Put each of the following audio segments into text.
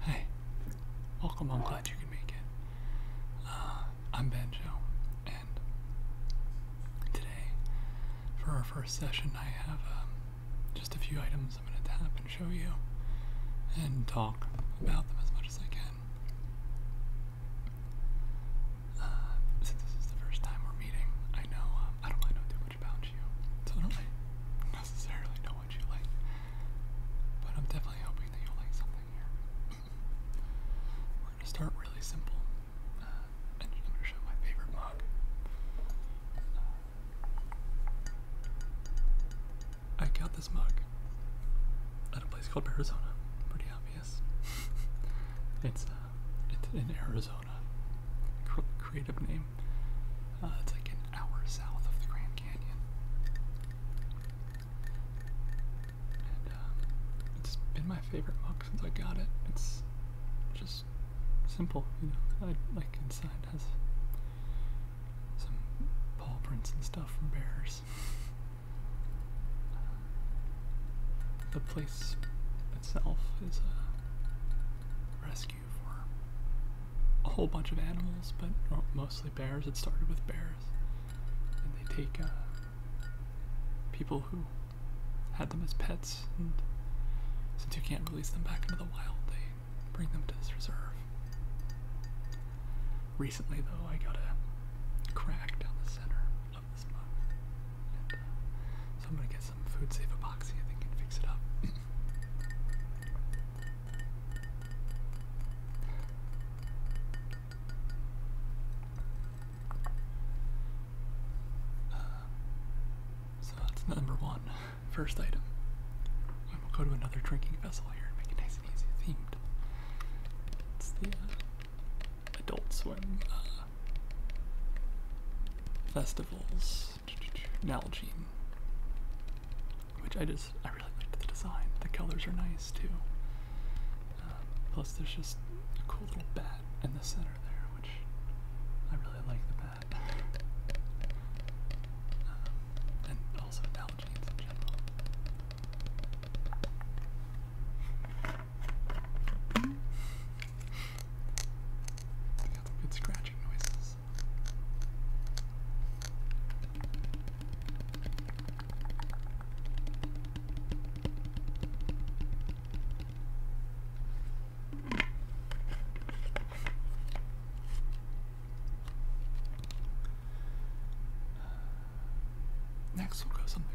Hey, welcome. I'm glad you can make it. Uh, I'm Benjo, and today, for our first session, I have um, just a few items I'm going to tap and show you and talk about them as much as I can. Uh, since this is the first time we're meeting, I know um, I don't mind doing much about you, I don't like necessarily know what you like. But I'm definitely hoping that you like something here. We're gonna start really simple, uh, I'm gonna show my favorite mug. I got this mug at a place called Arizona. Pretty obvious. it's uh, it's in Arizona. creative name. Uh, it's like an hour south of the Grand Canyon. And um, it's been my favorite mug since I got it. It's just simple, you know. I, like inside has some paw prints and stuff from bears. the place itself is a uh, rescue for a whole bunch of animals, but mostly bears. It started with bears, and they take uh, people who had them as pets, and since you can't release them back into the wild, they bring them to this reserve. Recently, though, I got a crack down the center of this mug, uh, so I'm gonna get uh, so that's number one, first item. And we'll go to another drinking vessel here and make it nice and easy themed. It's the uh, Adult Swim uh, festivals. Nalgene, which I just I really like the design. The colors are nice too. Um, plus, there's just a cool little bat in the center there, which I really like the bat. Um, and also Nalgene's in general. They got good scratching noises. Next, we'll go something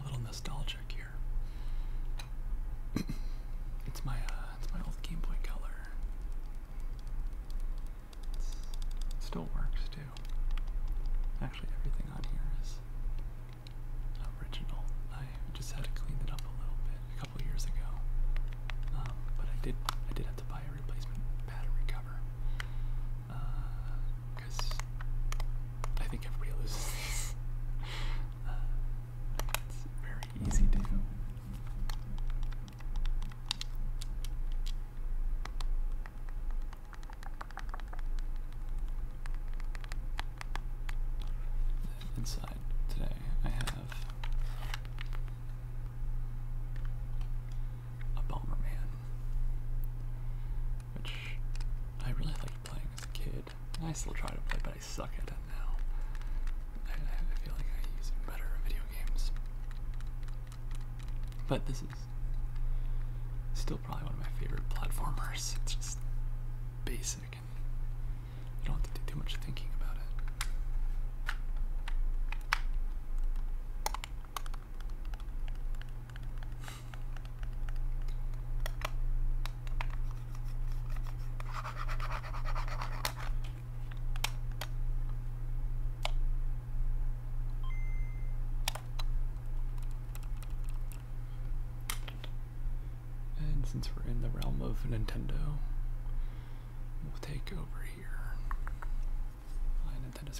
a little nostalgic here. it's my uh, it's my old Game Boy Color. it still works too. Actually, everything on here is original. I just had to clean it up a little bit a couple years ago, um, but I did I did have to buy a replacement battery cover because uh, I think everybody loses it's very easy to do. Inside today, I have a Bomberman, which I really liked playing as a kid. I still try to play, but. I suck at it now. I, feel like I use better video games. But this is still probably one of my favorite platformers. It's just basic and you don't have to do too much thinking about it. And since we're in the realm of Nintendo, we'll take over here. Uh, Nintendo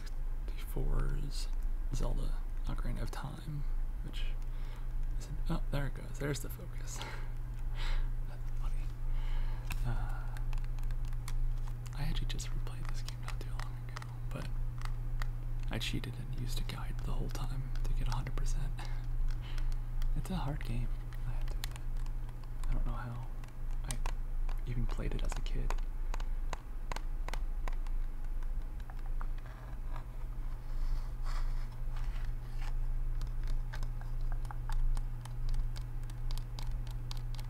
64's Zelda Ocarina of Time which isn't, oh, there it goes, there's the focus. Uh, I actually just replayed this game not too long ago, but I cheated and used a guide the whole time to get 100%. it's a hard game, I don't know how I even played it as a kid.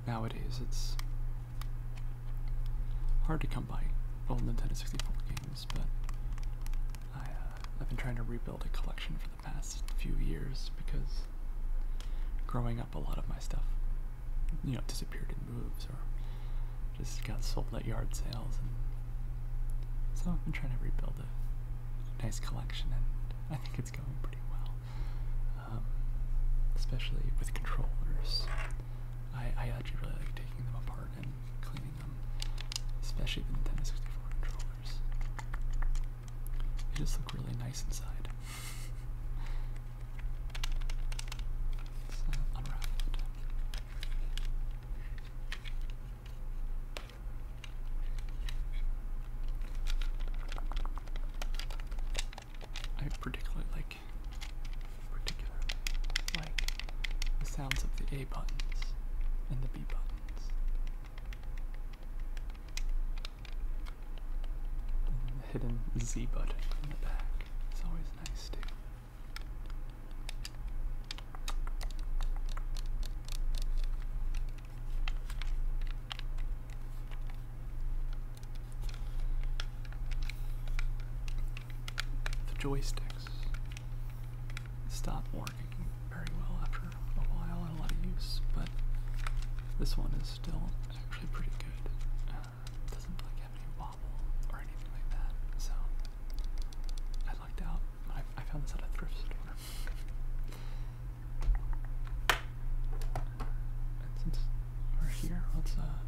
Nowadays, it's hard to come by old Nintendo 64 games, but I, have uh, been trying to rebuild a collection for the past few years because growing up, a lot of my stuff, you know, disappeared in moves or just got sold at yard sales, and so I've been trying to rebuild a nice collection, and I think it's going pretty well, um, especially with controllers. I, I actually really like taking them apart and cleaning them, especially the Nintendo 64 controllers. They just look really nice inside. Let's uh, unwrap it. I particularly like particularly like the sounds of the A buttons and the B buttons. And the hidden Z button in the back. It's always nice too. The joysticks stop working very well after a while and a lot of use, but this one is still actually pretty good doesn't like have any wobble or anything like that. So I lucked out. I, found this at a thrift store. since we're here, let's uh,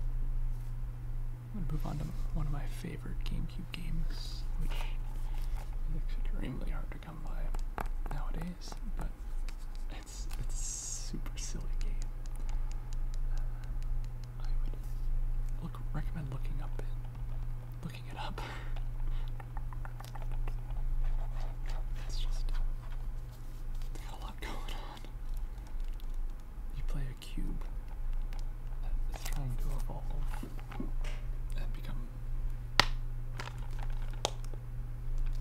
move on to one of my favorite GameCube games, which is extremely hard to come by nowadays, but it's it's super silly game. Uh, I would look recommend looking up it, looking it up. it's just it's got a lot going on. You play a cube that is trying to evolve and become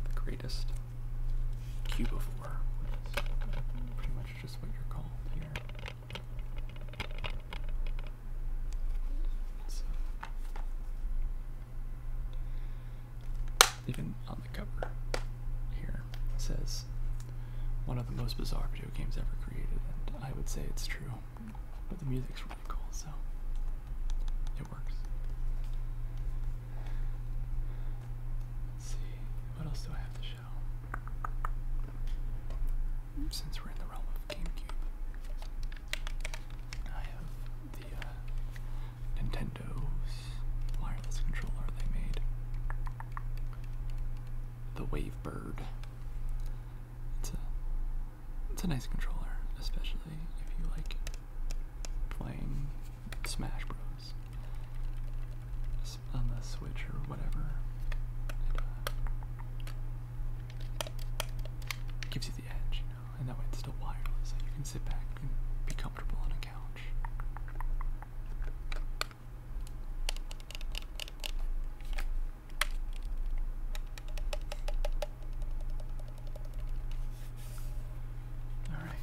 the greatest cube of Pretty much much just what you're called even on the cover here it says one of the most bizarre video games ever created, and I would say it's true. But the music's really cool, so it works. Let's see, what else do I have to show? Since we're in the realm of GameCube, I have the uh, Nintendo's wireless controller they made. The Wavebird. It's a it's a nice controller, especially if you like playing Smash Bros games on the Switch or whatever. It gives you the edge, you know, and that way it's still wireless, so you can sit back and be comfortable on a couch. Alright.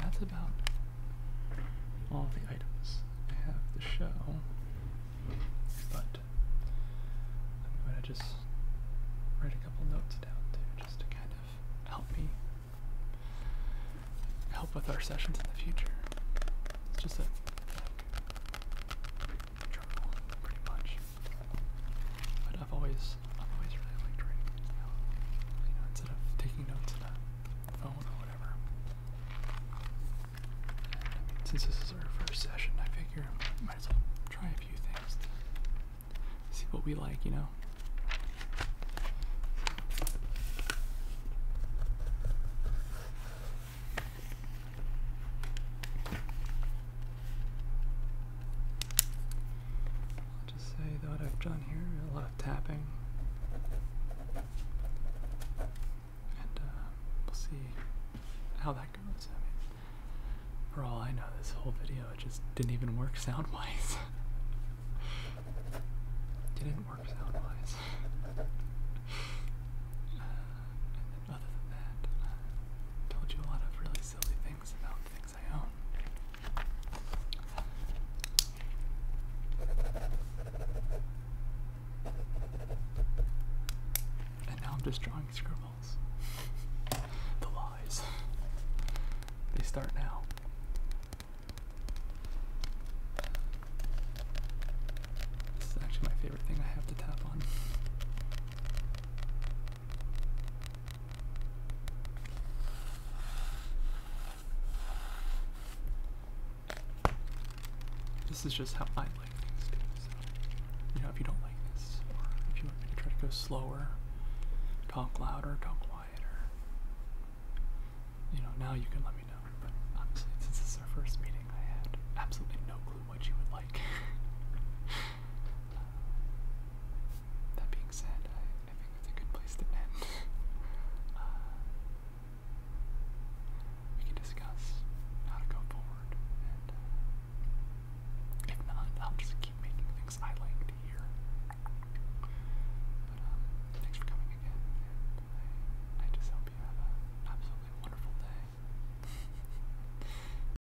That's about all the items I have to show. But I'm going to just write a couple notes down too, just to kind of help me help with our sessions in the future. It's just a journal, pretty much. I've always I've always really liked writing you know, instead of taking notes on a phone or whatever. since this is our first session, I figure I might as well try a few things see what we like, you know just say what I've done here, a lot of tapping. And uh, we'll see how that goes. for all I know, this whole video just didn't even work sound wise. didn't work sound wise. Uh, and then other than that, told you a lot of really silly things about things. And now I'm just drawing scribbles. the lies. They start now. This is actually my favorite thing I have to tap on. This is just how I like things too. So, you know, if you don't like this, or if you want me to try to go slower, talk louder, talk quieter, you know, now you can let me know. But honestly, since this is our first meeting, I had absolutely no clue what you would like. That being said, I, think it's a good place to end. Uh, we can discuss how to go forward, and uh, if not, I'll just keep making things I like to hear. But um, thanks for coming again, I just hope you have an absolutely wonderful day.